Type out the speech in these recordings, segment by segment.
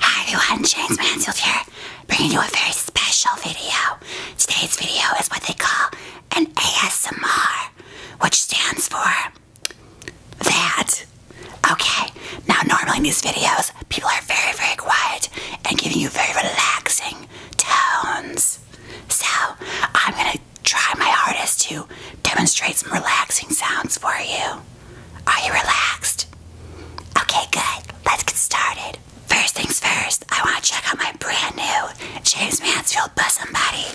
Hi everyone, James Mansfield here, bringing you a very special video. Today's video is what they call an ASMR, which stands for that. Okay, now normally these videos, people are very, very quiet and giving you very relaxing tones. So, I'm gonna I try my hardest to demonstrate some relaxing sounds for you. Are you relaxed? Okay, good. Let's get started. First things first, I want to check out my brand new James Mansfield Bosom Buddy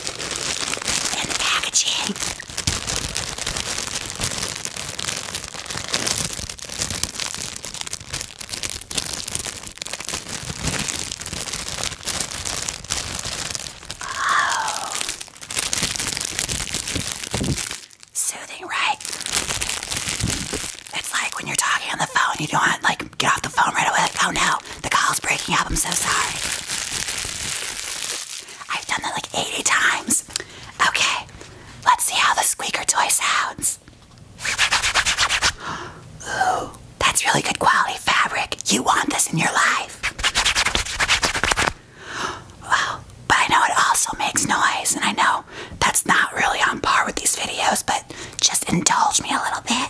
in the packaging. Oh. Soothing, right? It's like when you're talking on the phone, you don't want like get off the phone right away. Like, oh no, the call's breaking up. I'm so sorry. I've done that like 80 times. Okay, let's see how the squeaker toy sounds. Ooh, that's really good quality fabric. You want this in your life. Wow, but I know it also makes noise, and I know that's not really on par with these videos, but just indulge me a little bit.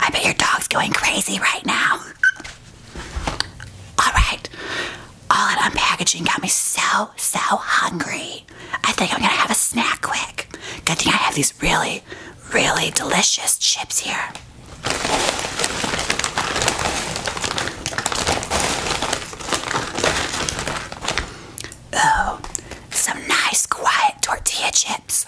I bet your dog's going crazy right now. All right, all that unpackaging got me so, so hungry. I think I'm gonna have a snack quick. Good thing I have these really, really delicious chips here. Oh, some nice quiet tortilla chips.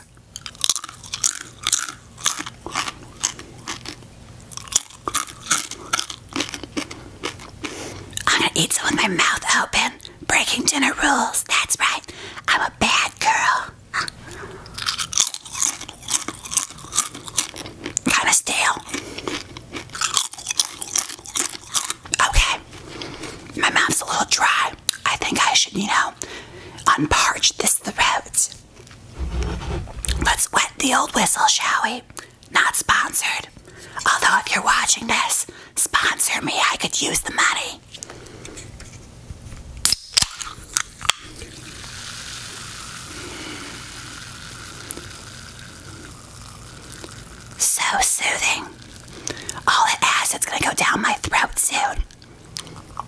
I'm gonna eat some with my mouth open. Breaking dinner rules. That's right. I'm a bad girl. Kind of stale. Okay. My mouth's a little dry. I think I should, you know, unparch this throat. Let's wet the old whistle, shall we? Not sponsored. Although, if you're watching this, sponsor me, I could use the money. So soothing. All it has, it's gonna go down my throat soon a little more.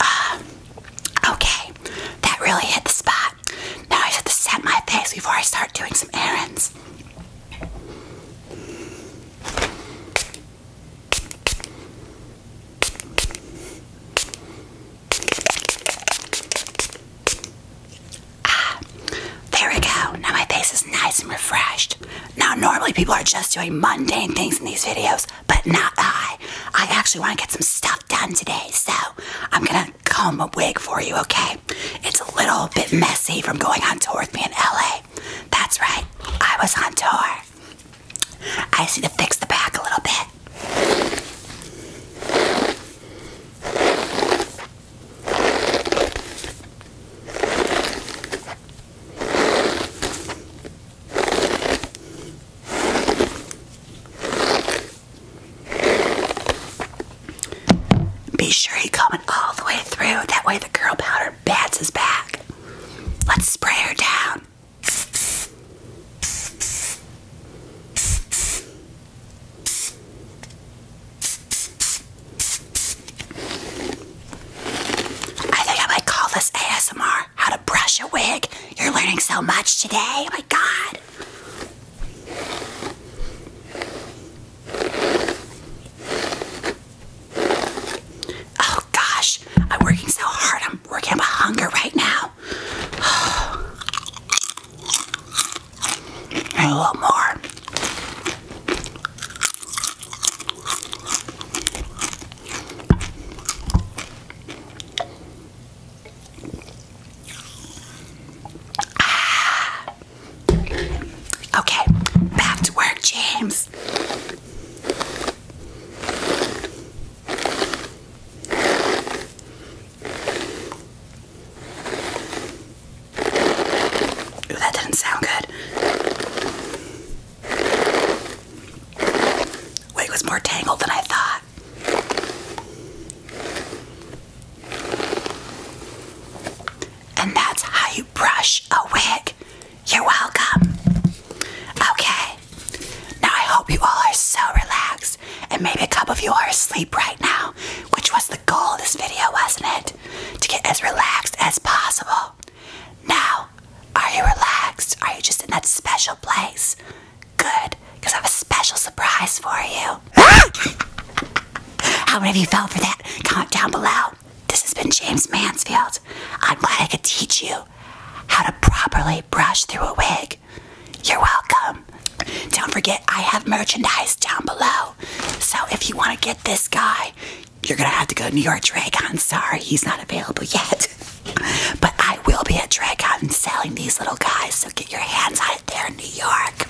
Uh, okay, that really hit the spot. Now I just have to set my face before I start doing some errands. Ah, there we go. Now my face is nice and refreshed. Now, normally people are just doing mundane things in these videos, but not I. I actually want to get some stuff done today, so I'm gonna comb a wig for you, okay? It's a little bit messy from going on tour with me in LA. That's right, I was on tour. I just need to fix the back a little bit. Be sure you comb all the way through. That way the curl powder bats his back. Let's spray her down. I think I might call this ASMR how to brush a wig. You're learning so much today. Oh my god. Oh gosh, I'm working so hard. I'm working up a hunger right now. a little more. Ah. Okay, back to work, James. Ooh, that didn't sound good. Wig was more tangled than I thought. And that's how you brush a wig. You're welcome. Okay. Now I hope you all are so relaxed, and maybe a couple of you are asleep right now, which was the goal of this video, wasn't it? To get as relaxed as possible. Now, are you relaxed? Are you just in that special place? Good, I have a special surprise for you. How many of you fell for that? Comment down below. This has been James Mansfield. I'm glad I could teach you how to properly brush through a wig. You're welcome. Don't forget, I have merchandise down below. So if you want to get this guy, you're going to have to go to New York Drag. I'm sorry, he's not available yet but I will be at Dragon selling these little guys, so get your hands on it there in New York.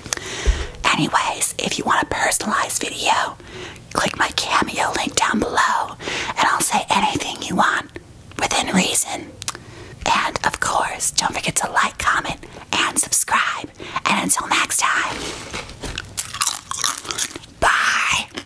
Anyways, if you want a personalized video, click my cameo link down below and I'll say anything you want within reason. And of course, don't forget to like, comment, and subscribe. And until next time, bye.